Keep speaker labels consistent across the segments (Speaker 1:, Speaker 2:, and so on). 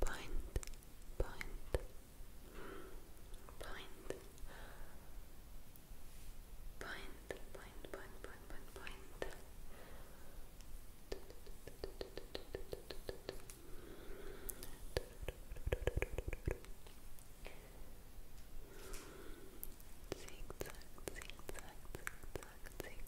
Speaker 1: point, point, point, point, point, point, point, point. Zigzag, zigzag, zigzag, zigzag,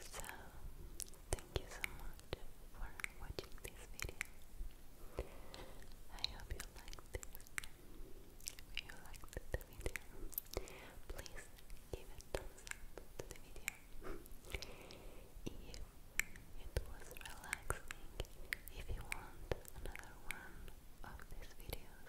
Speaker 1: So, thank you so much for watching this video. I hope you liked this. If you liked the video, please give a thumbs up the video. if it was relaxing, if you want another one of these videos,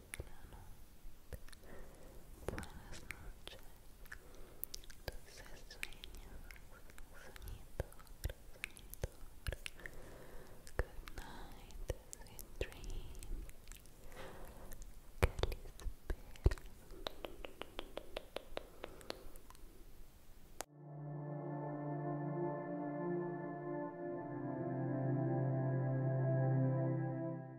Speaker 1: Buenas noches. Entonces sueños, Good night, sweet dream. Feliz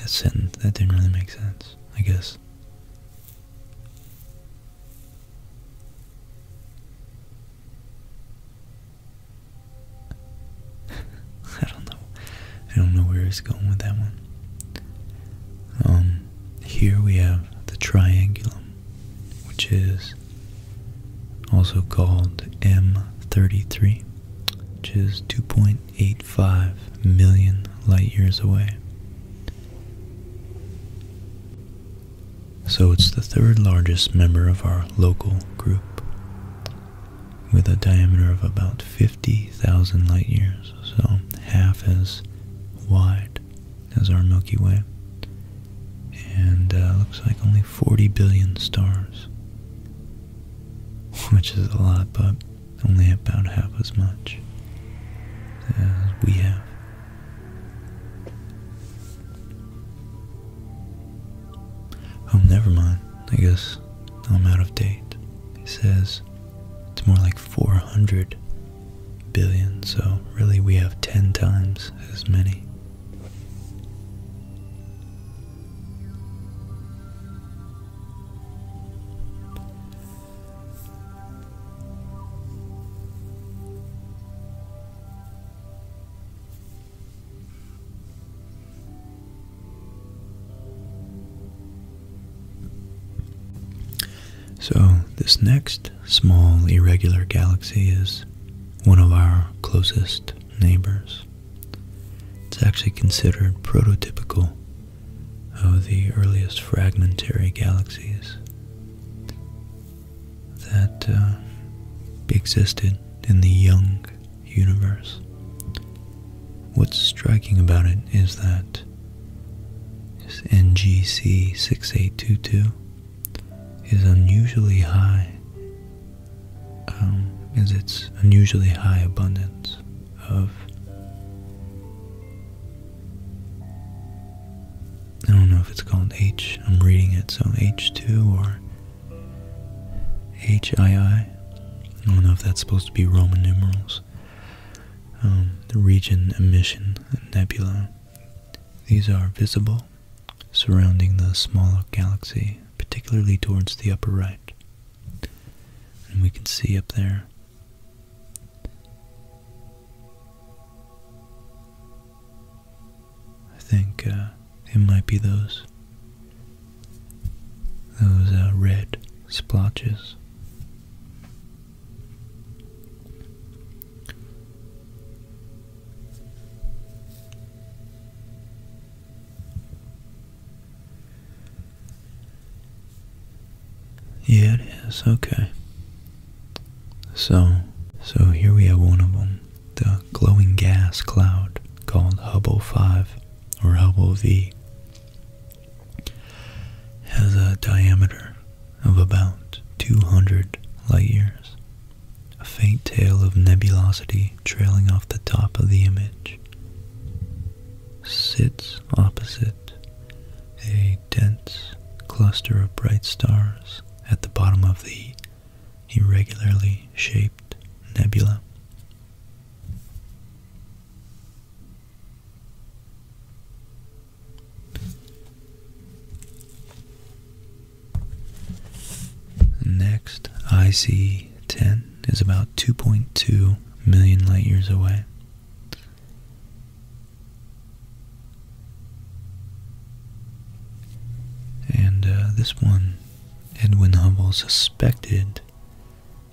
Speaker 1: That sentence, that didn't really make sense, I guess. I don't know. I don't know where he's going with that one. Um, here we have the triangulum, which is also called M33, which is 2.85 million light years away. So it's the third largest member of our local group with a diameter of about 50,000 light years, so half as wide as our Milky Way, and uh, looks like only 40 billion stars, which is a lot, but only about half as much we have. Oh, never mind. I guess I'm out of date. He says it's more like 400 billion, so really we have 10 times as many. So, this next small irregular galaxy is one of our closest neighbors. It's actually considered prototypical of the earliest fragmentary galaxies that uh, existed in the young universe. What's striking about it is that NGC 6822 is unusually high, um, is its unusually high abundance of I don't know if it's called H, I'm reading it, so H2 or HII. I don't know if that's supposed to be Roman numerals. Um, the region emission nebula. These are visible, surrounding the smaller galaxy, particularly towards the upper right. And we can see up there I think uh, it might be those those uh, red splotches. Yeah, it is. Okay. So, so here we have one of them, the glowing gas cloud called Hubble 5 or Hubble V has a diameter of about 200 light years. A faint tail of nebulosity trailing off the top of the image sits opposite a dense cluster of bright stars at the bottom of the irregularly shaped nebula. Next, IC 10 is about 2.2 million light years away. And uh, this one, Edwin Hubble suspected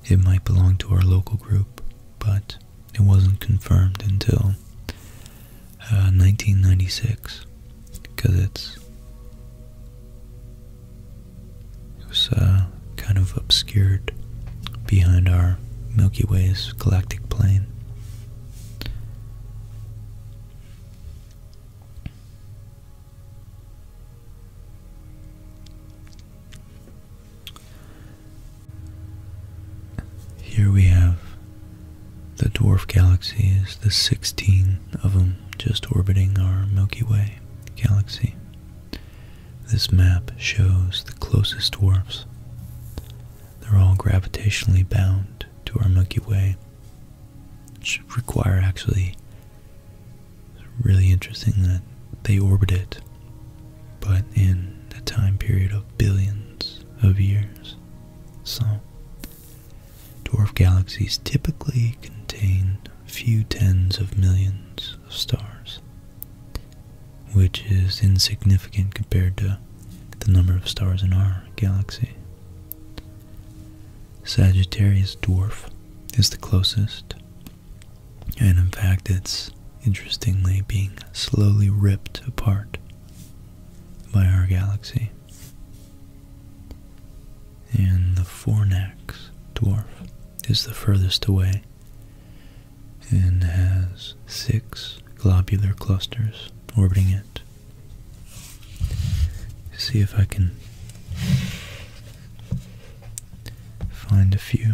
Speaker 1: it might belong to our local group, but it wasn't confirmed until 1996 uh, because it's it was uh, kind of obscured behind our Milky Way's galactic plane. Here we have the dwarf galaxies, the 16 of them just orbiting our Milky Way galaxy. This map shows the closest dwarfs they're all gravitationally bound to our Milky Way. It should require actually really interesting that they orbit it, but in a time period of billions of years. So, dwarf galaxies typically contain a few tens of millions of stars which is insignificant compared to the number of stars in our galaxy. Sagittarius dwarf is the closest, and in fact, it's interestingly being slowly ripped apart by our galaxy. And the Fornax dwarf is the furthest away and has six globular clusters orbiting it. See if I can find a few.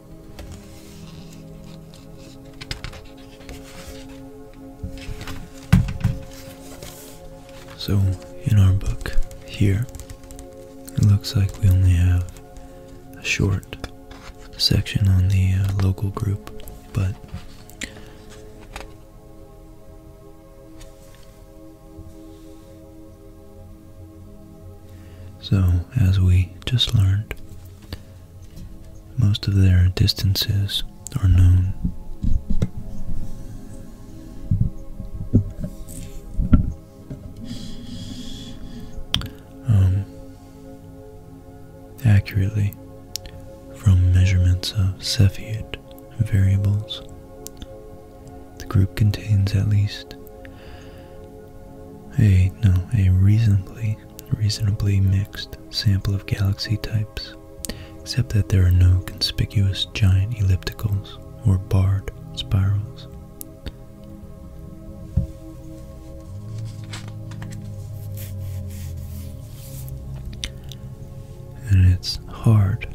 Speaker 1: So, in our book here, it looks like we only have a short section on the uh, local group, but so, as we just learned, most of their distances are known. Um, accurately from measurements of Cepheid variables. The group contains at least a no a reasonably reasonably mixed sample of galaxy types, except that there are no conspicuous giant ellipticals or barred spirals. And it's hard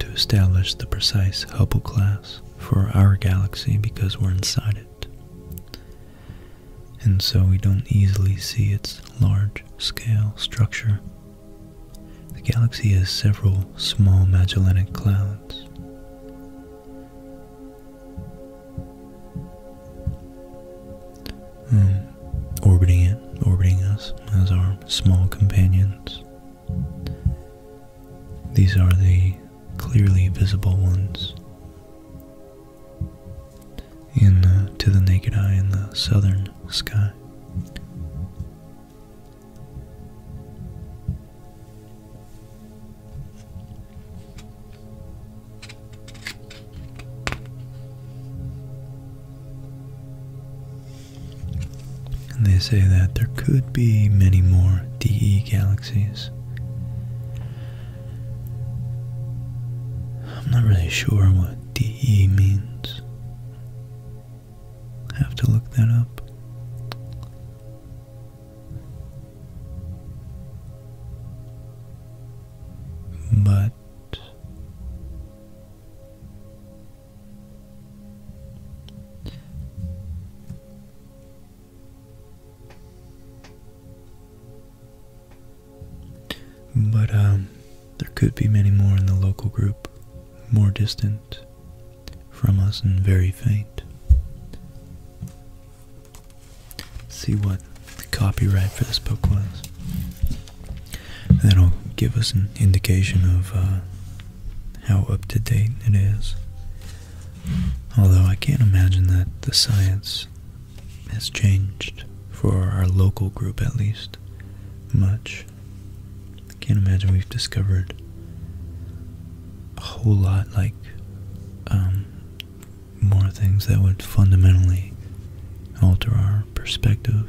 Speaker 1: to establish the precise Hubble class for our galaxy because we're inside it and so we don't easily see its large scale structure. The galaxy has several small Magellanic clouds. Um, orbiting it, orbiting us as our small companions. These are the clearly visible ones in to the naked eye in the southern sky. And they say that there could be many more DE galaxies I'm not really sure what DE means. I have to look that up. But but um, there could be many more in the local group, more distant from us and very faint. see what the copyright for this book was. And that'll give us an indication of uh, how up to date it is. Although I can't imagine that the science has changed, for our local group at least, much. I can't imagine we've discovered a whole lot like um, more things that would fundamentally alter our perspective.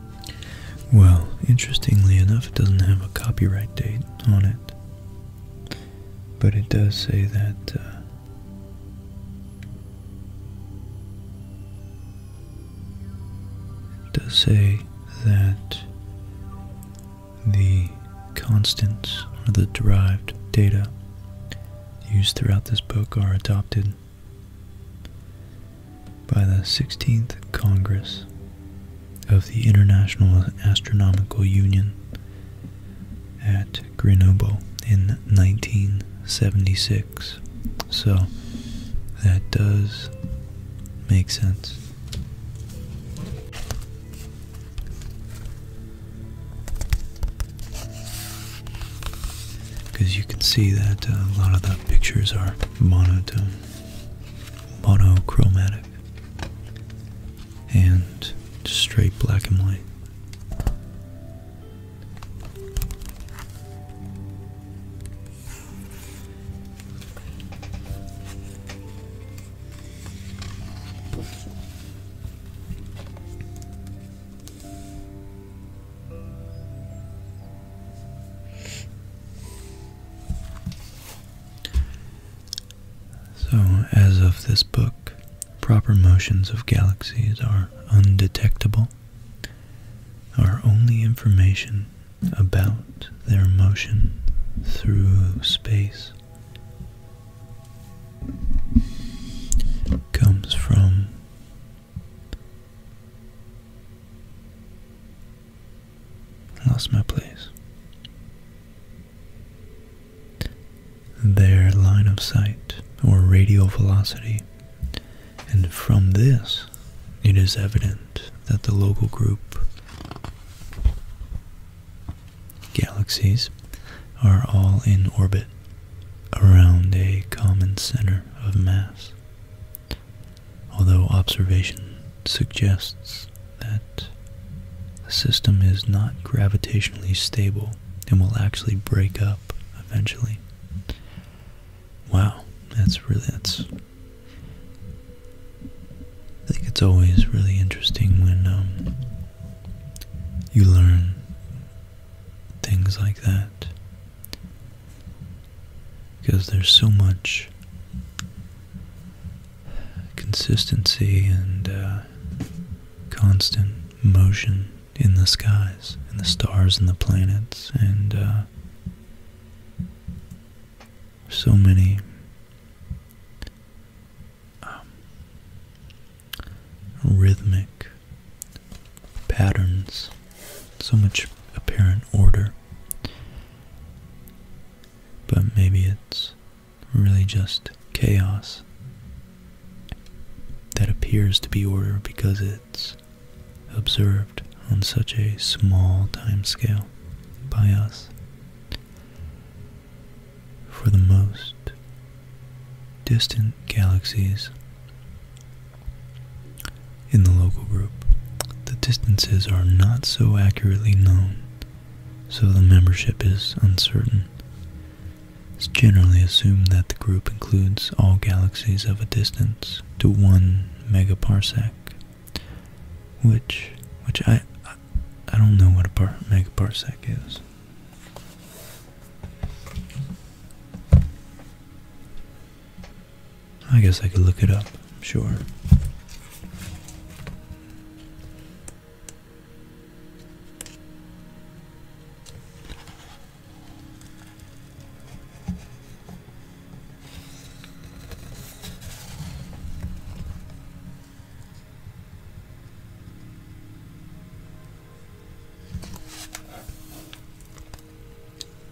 Speaker 1: Well, interestingly enough, it doesn't have a copyright date on it. But it does say that. Uh, does say that the constants or the derived data used throughout this book are adopted by the 16th Congress of the International Astronomical Union at Grenoble in 1976. So that does make sense. Because you can see that uh, a lot of the pictures are monotone, monochromatic, and straight black and white. So, as of this book, proper motions of galaxies are undetectable. Our only information about their motion through space comes from Lost my place. Their line of sight or radial velocity, and from this it is evident that the local group galaxies are all in orbit around a common center of mass although observation suggests that the system is not gravitationally stable and will actually break up eventually. Wow, that's really that's. I think it's always really interesting when um, you learn things like that because there's so much consistency and uh, constant motion in the skies, in the stars and the planets, and uh, so many um, rhythmic patterns so much apparent order. But maybe it's really just chaos that appears to be order because it's observed on such a small time scale by us. For the most distant galaxies, in the local group, the distances are not so accurately known, so the membership is uncertain. It's generally assumed that the group includes all galaxies of a distance to 1 megaparsec, which which I I, don't know what a par megaparsec is. I guess I could look it up, sure.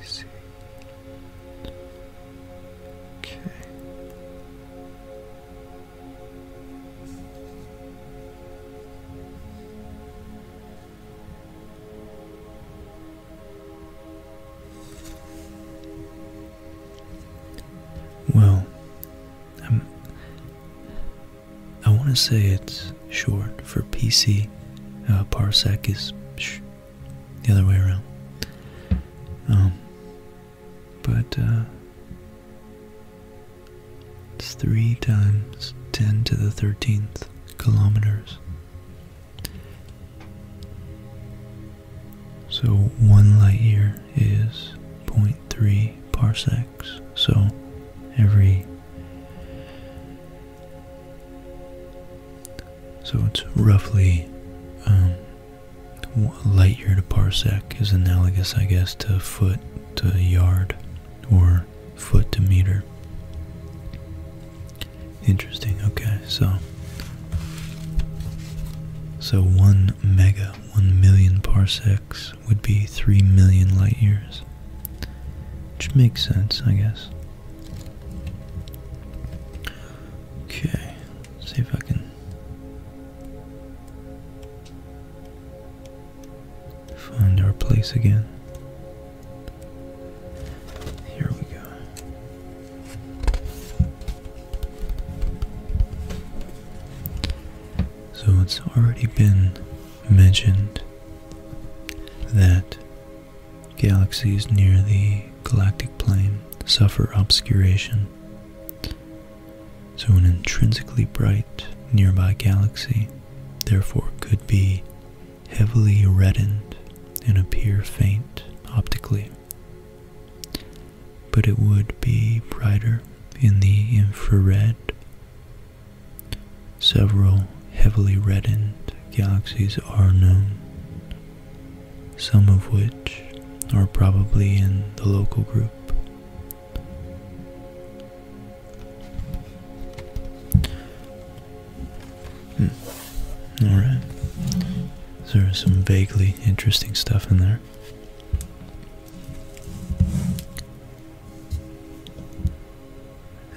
Speaker 1: BC. Okay. Well, um, I want to say it's short for PC. Uh, parsec is the other way around. Um, but uh, it's three times 10 to the 13th kilometers. So one light year is 0.3 parsecs. So every so it's roughly um, light year to parsec is analogous, I guess, to foot to yard or foot to meter. Interesting. Okay, so so one mega, one million parsecs would be three million light years, which makes sense, I guess. Okay, see if I can find our place again. Here we go. So it's already been mentioned that Galaxies near the galactic plane suffer obscuration, so an intrinsically bright nearby galaxy therefore could be heavily reddened and appear faint optically, but it would be brighter in the infrared Several heavily reddened galaxies are known, some of which are probably in the local group. Hmm. Alright. So there's some vaguely interesting stuff in there.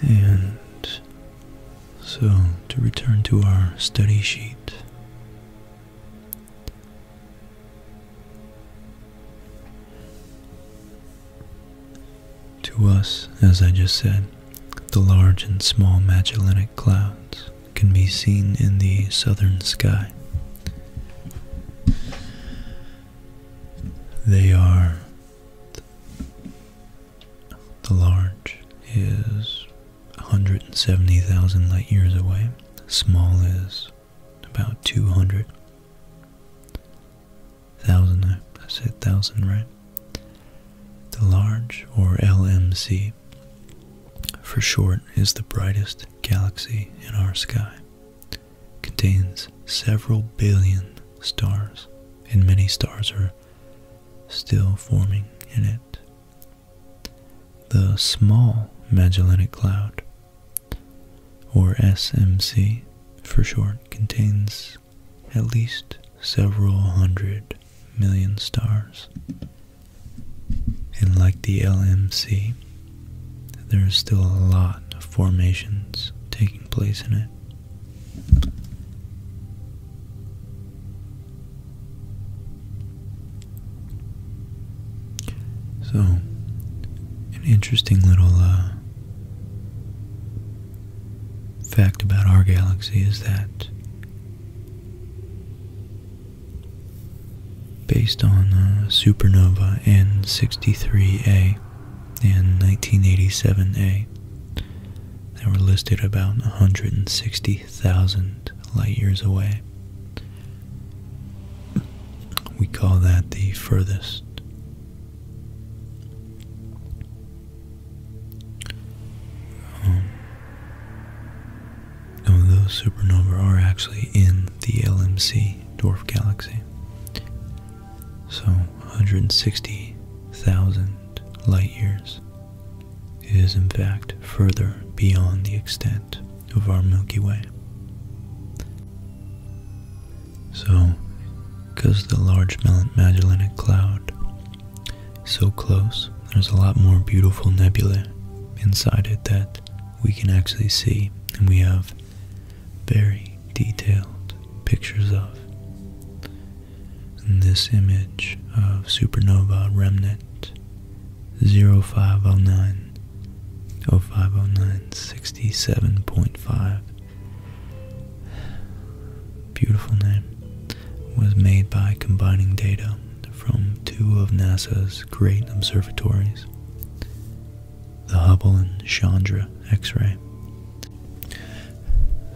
Speaker 1: And so, to return to our study sheet. To us, as I just said, the large and small Magellanic clouds can be seen in the southern sky. They are the large is 170,000 light years away. Small is about 200,000. I said thousand, right? The large, or LMC, for short, is the brightest galaxy in our sky. Contains several billion stars, and many stars are still forming in it. The Small Magellanic Cloud, or SMC for short, contains at least several hundred million stars. And like the LMC, there is still a lot of formations taking place in it. So, an interesting little uh, fact about our galaxy is that based on uh, supernova N63A and 1987A, they were listed about 160,000 light years away. We call that the furthest. Um, those supernovae are actually in the LMC dwarf galaxy. So 160,000 light years is in fact further beyond the extent of our Milky Way. So, because the Large Magellanic Cloud is so close, there's a lot more beautiful nebulae inside it that we can actually see, and we have very detailed pictures of this image of supernova remnant 0509 0509 67.5 beautiful name was made by combining data from two of NASA's great observatories, the Hubble and Chandra X-ray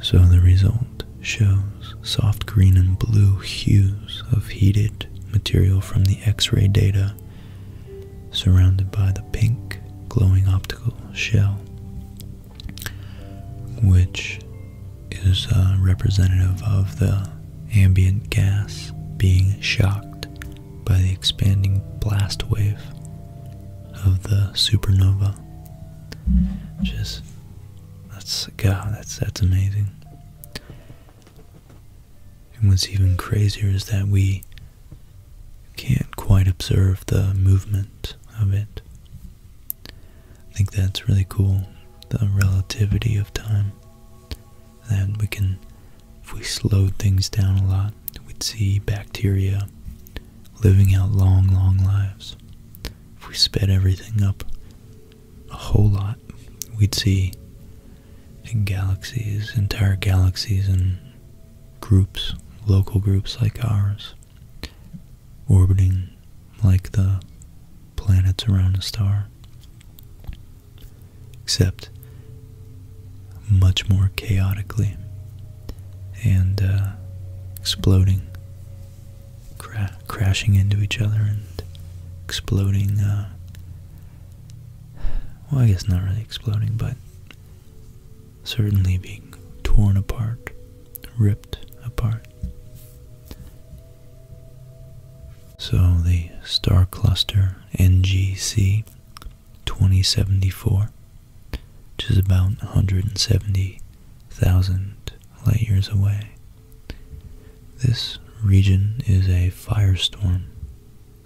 Speaker 1: so the result shows soft green and blue hues of heated material from the X-ray data surrounded by the pink glowing optical shell, which is uh, representative of the ambient gas being shocked by the expanding blast wave of the supernova just that's God, that's that's amazing. And what's even crazier is that we can't quite observe the movement of it. I think that's really cool, the relativity of time. That we can, if we slowed things down a lot, we'd see bacteria living out long, long lives if we sped everything up a whole lot, we'd see galaxies, entire galaxies, and groups, local groups like ours, orbiting like the planets around a star, except much more chaotically and uh, exploding crashing into each other and exploding. Uh, well, I guess not really exploding, but certainly being torn apart, ripped apart. So the star cluster NGC 2074 which is about 170,000 light years away. This region is a firestorm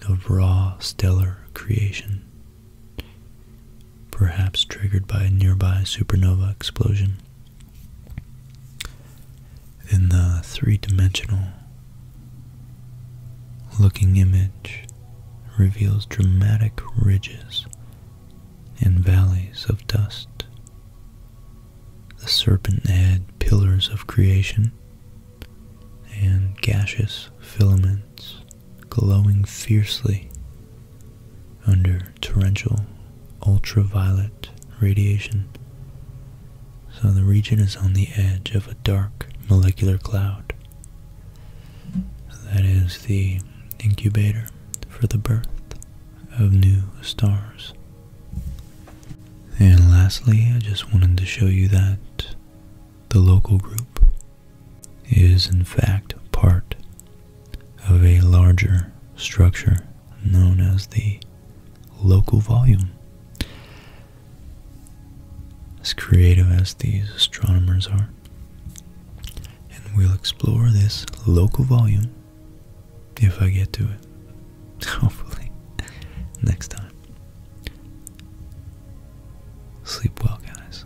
Speaker 1: of raw stellar creation, perhaps triggered by a nearby supernova explosion. In the three dimensional looking image reveals dramatic ridges and valleys of dust, the serpent head pillars of creation, and gaseous filaments glowing fiercely under torrential ultraviolet radiation. So the region is on the edge of a dark molecular cloud. That is the incubator for the birth of new stars. And lastly, I just wanted to show you that the local group is in fact part of a larger structure known as the local volume. As creative as these astronomers are. And we'll explore this local volume if I get to it. Hopefully, next time. Sleep well, guys.